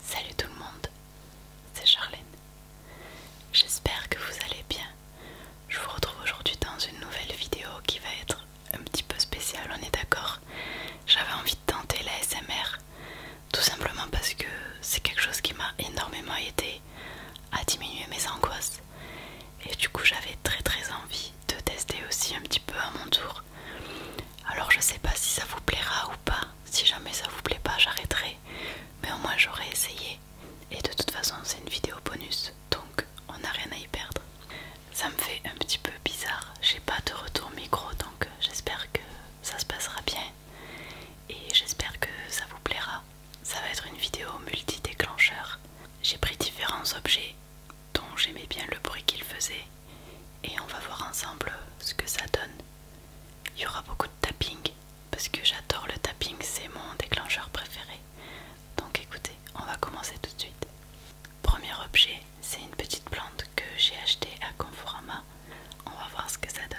Salut tout le monde, c'est Charlène. J'espère que vous allez bien. Je vous retrouve aujourd'hui dans une nouvelle vidéo qui va être un petit peu spéciale, on est d'accord. J'avais envie de tenter la SMR, tout simplement parce que c'est quelque chose qui m'a énormément aidé à diminuer mes angoisses. Et du coup j'avais très très envie de tester aussi un petit peu à mon tour alors je sais pas si ça vous plaira ou pas. Si jamais ça vous plaît pas, j'arrêterai. Mais au moins j'aurai essayé. Et de toute façon, c'est une vidéo bonus, donc on n'a rien à y perdre. Ça me fait un petit peu bizarre. J'ai pas de retour micro, donc euh, j'espère que ça se passera bien. Et j'espère que ça vous plaira. Ça va être une vidéo multi-déclencheur. J'ai pris différents objets dont j'aimais bien le bruit qu'il faisait et on va voir ensemble ce que ça donne. Il y aura beaucoup de tapping parce que j'adore le tapping, c'est mon déclencheur préféré. Donc écoutez, on va commencer tout de suite. Premier objet, c'est une petite plante que j'ai achetée à Conforama. On va voir ce que ça donne.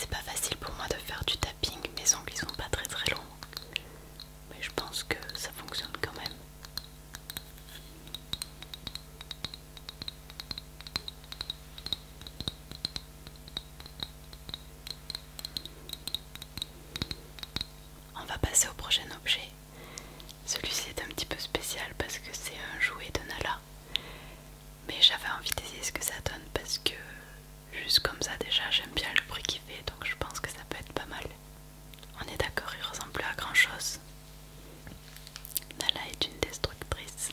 C'est pas facile pour moi de faire du tapping, mes ongles ils sont pas très très longs, mais je pense que ça fonctionne quand même. On va passer au prochain objet. Celui-ci est un petit peu spécial parce que c'est un jouet de Nala. Mais j'avais envie d'essayer ce que ça donne parce que juste comme ça déjà j'aime bien le bruit qu'il fait donc je pense que ça peut être pas mal. On est d'accord, il ressemble plus à grand chose. Nala est une destructrice.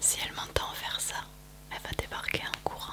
Si elle m'entend faire ça, elle va débarquer en courant.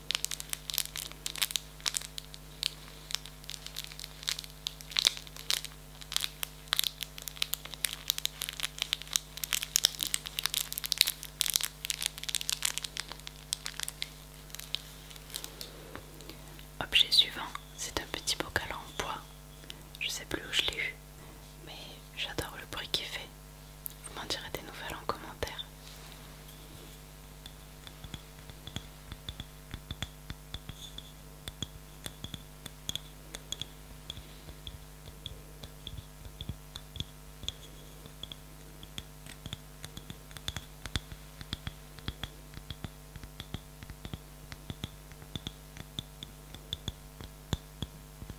Objet suivant, c'est un petit bocal en bois. Je sais plus où je l'ai eu, mais j'adore le bruit qu'il fait. Vous m'en direz des nouvelles en commentaire.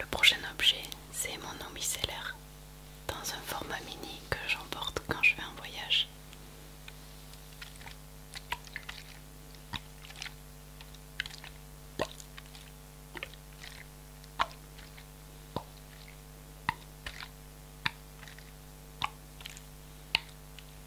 Le prochain objet, c'est mon eau dans un format mini que j'emporte quand je vais en voyage.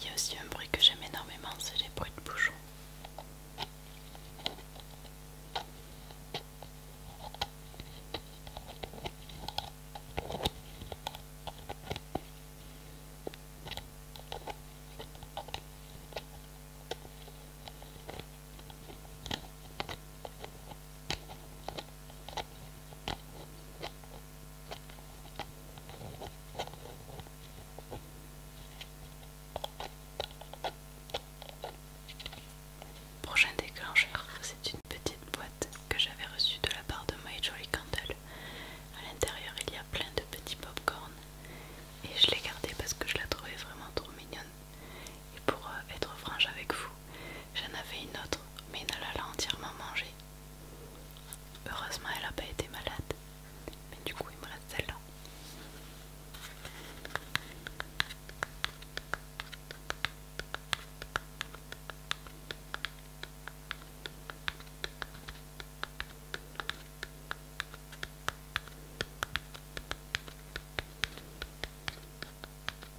Il y a aussi un bruit que j'aime énormément, c'est les bruits de bouchons. Prochain déclencheur, c'est une petite boîte que j'avais reçue de la part de My Jolly Candle. À l'intérieur, il y a plein de petits popcorns, et je l'ai gardée parce que je la trouvais vraiment trop mignonne. Et pour euh, être franche avec vous, j'en avais une autre, mais ne l'a entièrement mangée. Heureusement, elle n'a pas été malade. Mais du coup, il me reste celle-là.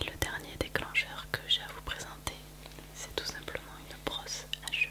Et le dernier déclencheur que j'ai à vous présenter, c'est tout simplement une brosse à cheveux.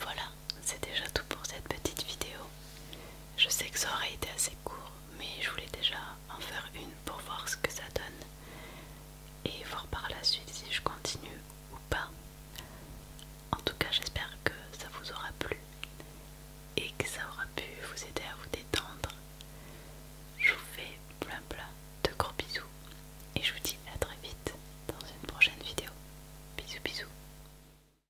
Voilà, c'est déjà tout pour cette petite vidéo. Je sais que ça aurait été assez court, mais je voulais déjà en faire une pour voir ce que ça donne et voir par la suite si je continue ou pas. En tout cas, j'espère que ça vous aura plu et que ça aura pu vous aider à vous détendre. Je vous fais plein plein de gros bisous et je vous dis à très vite dans une prochaine vidéo. Bisous bisous.